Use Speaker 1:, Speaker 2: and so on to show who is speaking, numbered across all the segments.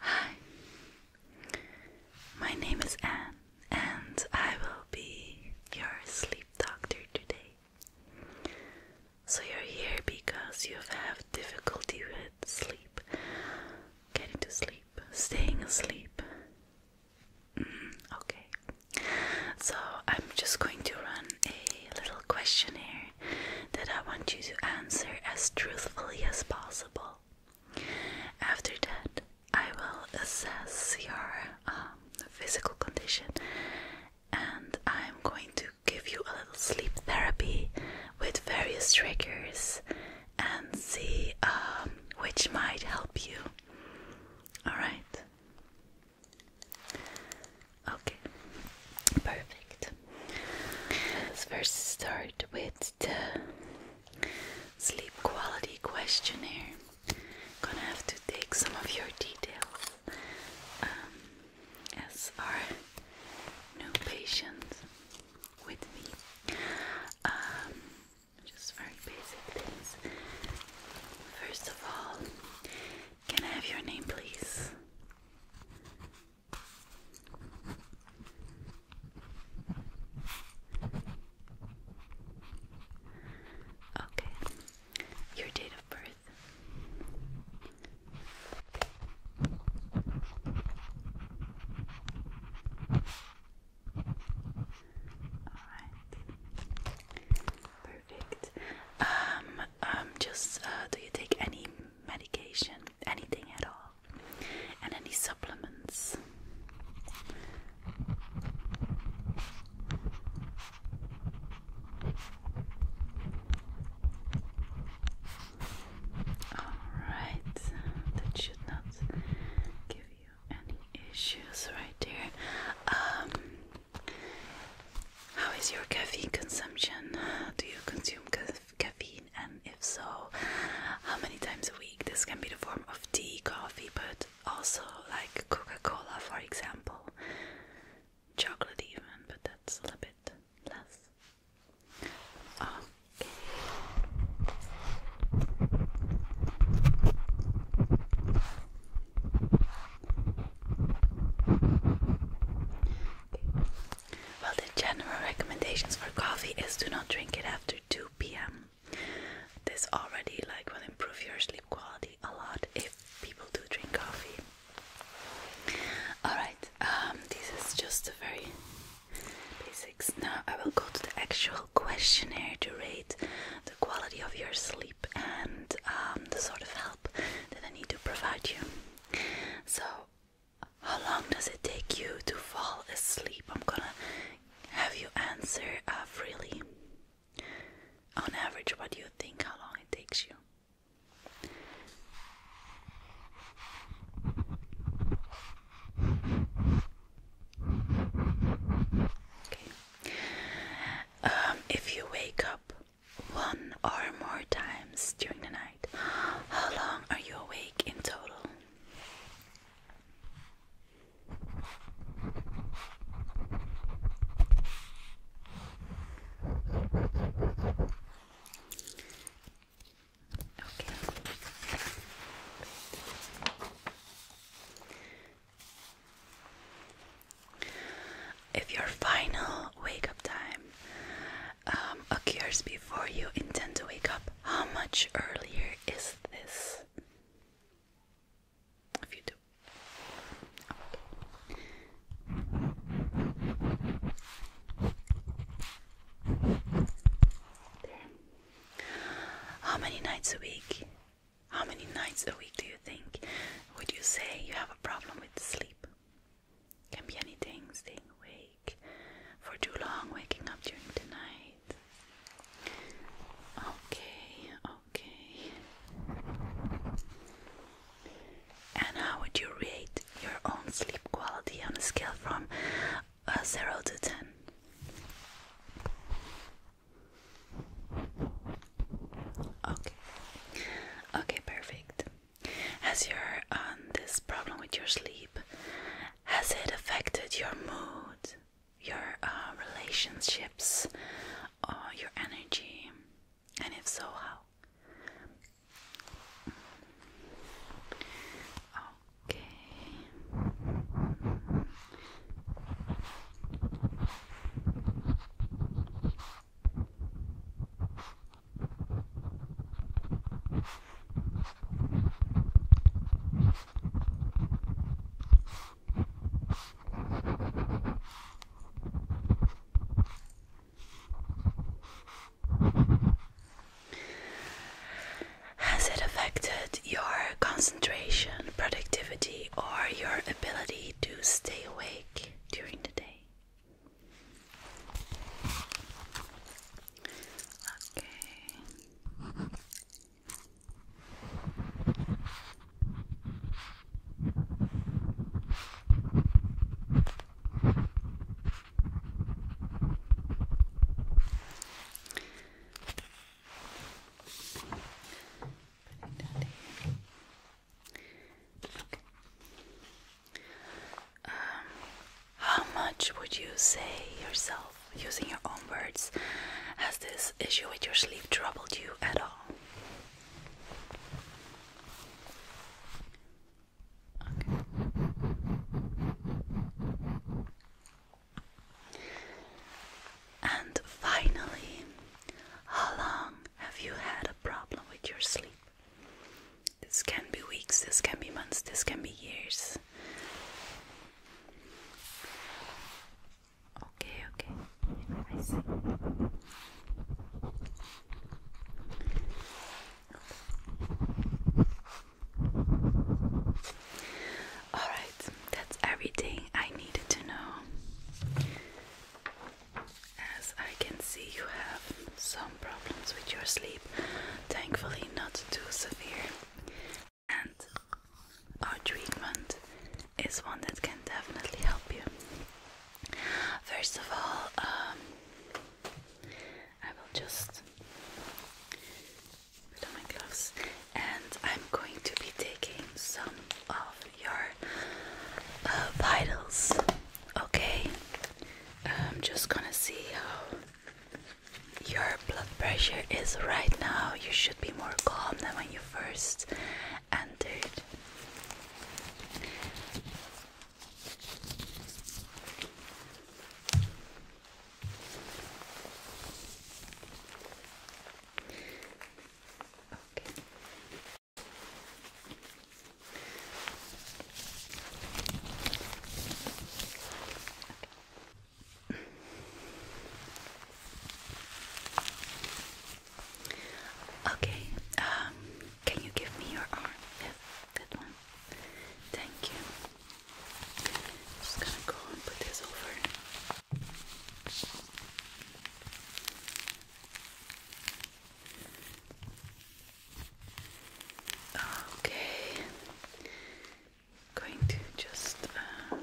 Speaker 1: Hi, my name is Anne, and I will be your sleep doctor today. So, you're here because you have difficulty with sleep, getting to sleep, staying asleep. Mm, okay, so I'm just going to run a little questionnaire that I want you to answer as truthfully as possible. After that, I will assess your um, physical condition and I'm going to give you a little sleep therapy with various triggers and see um, which might help you. Alright? Okay, perfect. Let's first start with the sleep quality questionnaire. Gonna have to take some of your details um, as our new patient with me. Um, just very basic things. First of all, can I have your name, please? Okay, your date of birth. Alright. Perfect. Um, um, just uh, do you take any medication, anything at all, and any supplements. Alright, that should not give you any issues right there. Um, how is your coffee consumption? Do you consume ca caffeine, and if so, how many times a week? This can be the form of tea, coffee, but also like Coca Cola, for example, chocolate, even, but that's a little bit less. Okay. Well, the general recommendations for coffee is do not drink it after 2 p.m. This already like will improve your sleep quality a lot if people do drink coffee. Alright, um, this is just a very basics. Now I will go to the actual questionnaire to rate the quality of your sleep and um, the sort of help that I need to provide you. So, how long does it take you to fall asleep? I'm gonna have you answer uh, freely. On average, what do you think how long it takes you? Okay. Um, if you wake up one or more times during the night. How long are you awake in total? If your final wake up time um, occurs before you intend to wake up, how much earlier is this? If you do. How many nights a week? How many nights a week do you think would you say you have a problem with sleep? Can be anything, staying awake for too long, waking up during the night. Okay, okay. And how would you rate your own sleep quality on a scale from uh, 0 to 10? Okay. Okay, perfect. you're on um, this problem with your sleep has it affected your mood, your uh, relationships, or your energy? And if so, how? Okay. Has it affected your concentration, productivity, or your ability to stay awake? during the day. Okay how much would you say yourself, using your own words, has this issue with your sleep troubled you at all? And finally, how long have you had a problem with your sleep? This can be weeks, this can be months, this can be years. Okay, okay. I see. Alright, that's everything I needed to know. As I can see, you have some problems with your sleep, thankfully, not too severe. And our treatment is one that can definitely help you. First of all, um, I will just put on my gloves and I'm going to be taking some of your uh, vitals. Okay, I'm just gonna see how your blood pressure is right now. You should be more calm than when you first entered. Okay. Okay. Um, can you give me your arm? Yes, that one. Thank you. just gonna go and put this over. Okay, going to just uh,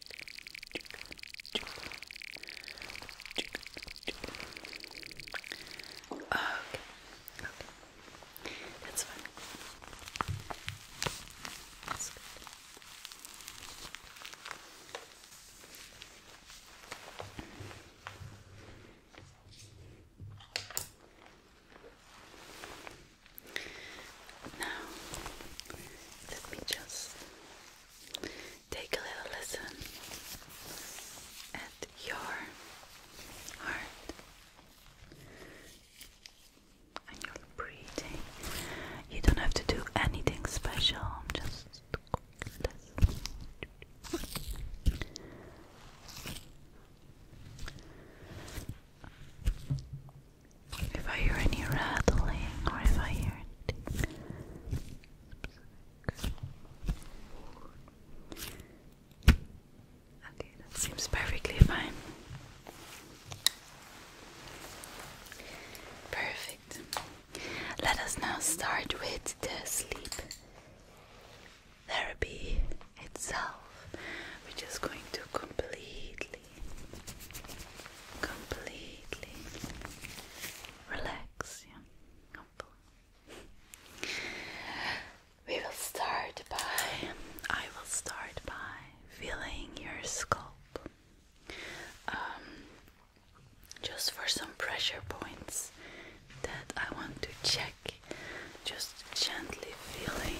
Speaker 1: Okay. Okay. That's fine. Now, let me just take a little listen at your heart and your breathing. You don't have to do anything special, just listen. If I hear any rattling or if I hear Okay, that seems perfectly fine. Perfect. Let us now start with the sleep therapy itself. We're just going to completely completely relax Yeah. We will start by I will start by feeling your scalp. Um, just for some pressure points that I want to check. Just gently feeling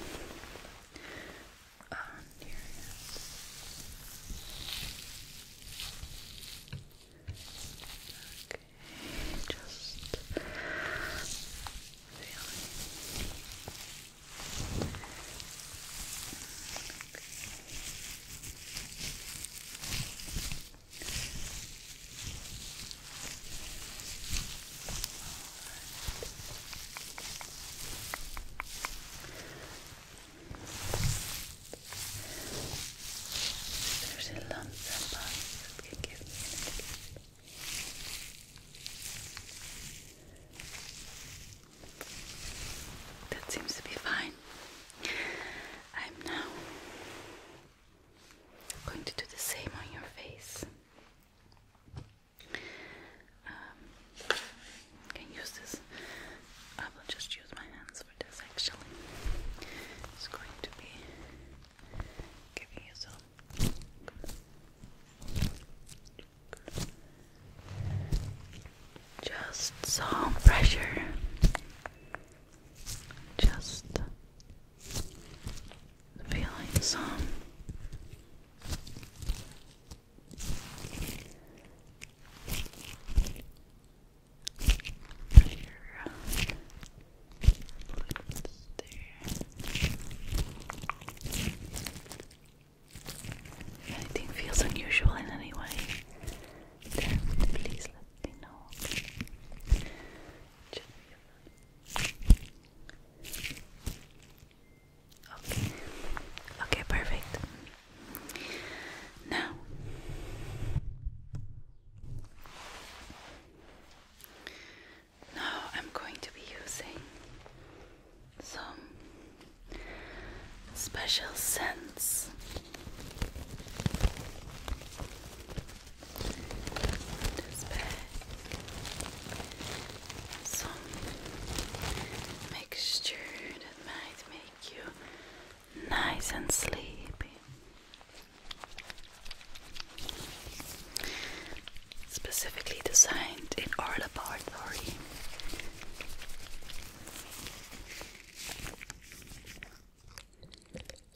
Speaker 1: on your hands. Okay, just feeling. Okay. There's a lump and bumps that can give me an indication. That seems to be fine. I'm now going to do the same on your face. Um, can use this. I will just use my hands for this actually. It's going to be giving you Just some pressure. Just feeling some if anything feels unusual in any way, then please let me know. Just Okay. Okay, perfect. Now now I'm going to be using some special scents. Some mixture that might make you nice and sleepy. Specifically designed in our laboratory.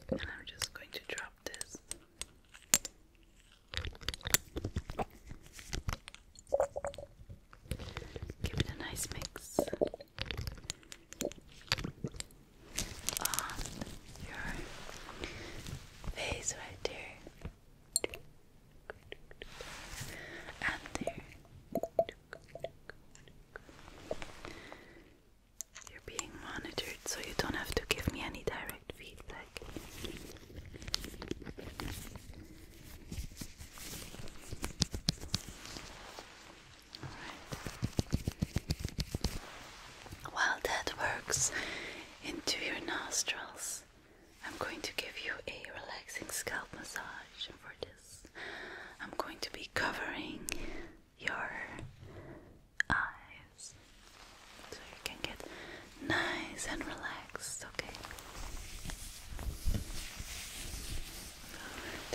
Speaker 1: And I'm just going to drop this Give it a nice mix. On your face right there. And there. You're being monitored so you don't have to give me any direct feedback. While that works into your nostrils, I'm going to give you a relaxing scalp massage. for this, I'm going to be covering your eyes so you can get nice and relaxed, okay? Alright.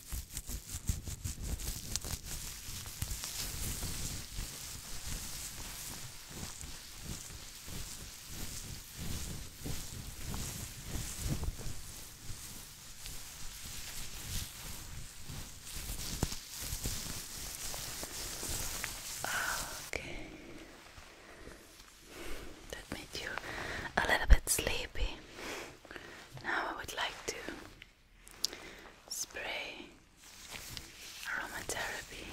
Speaker 1: Okay. That made you a little bit sleepy. Now I would like to spray aromatherapy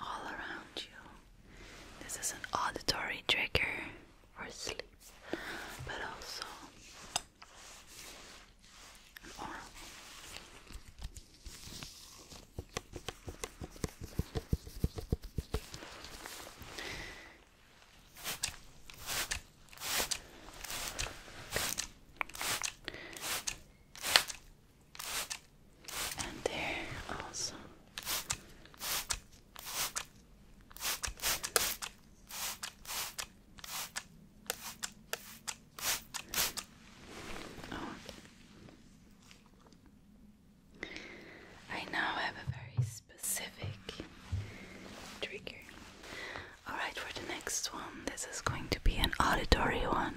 Speaker 1: all around you. This is an auditory trigger for sleep, but also and there also. Oh. I now have a very specific trigger. Alright, for the next one, this is going to be an auditory one.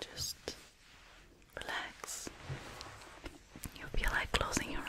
Speaker 1: Just relax. You will feel like closing your eyes.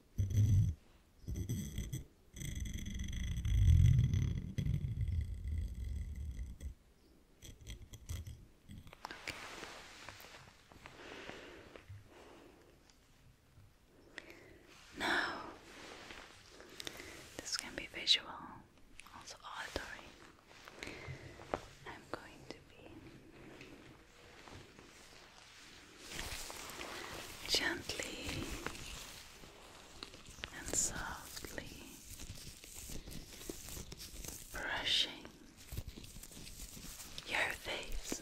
Speaker 1: Now, this can be visual, also auditory. I'm going to be gently and softly brushing your face.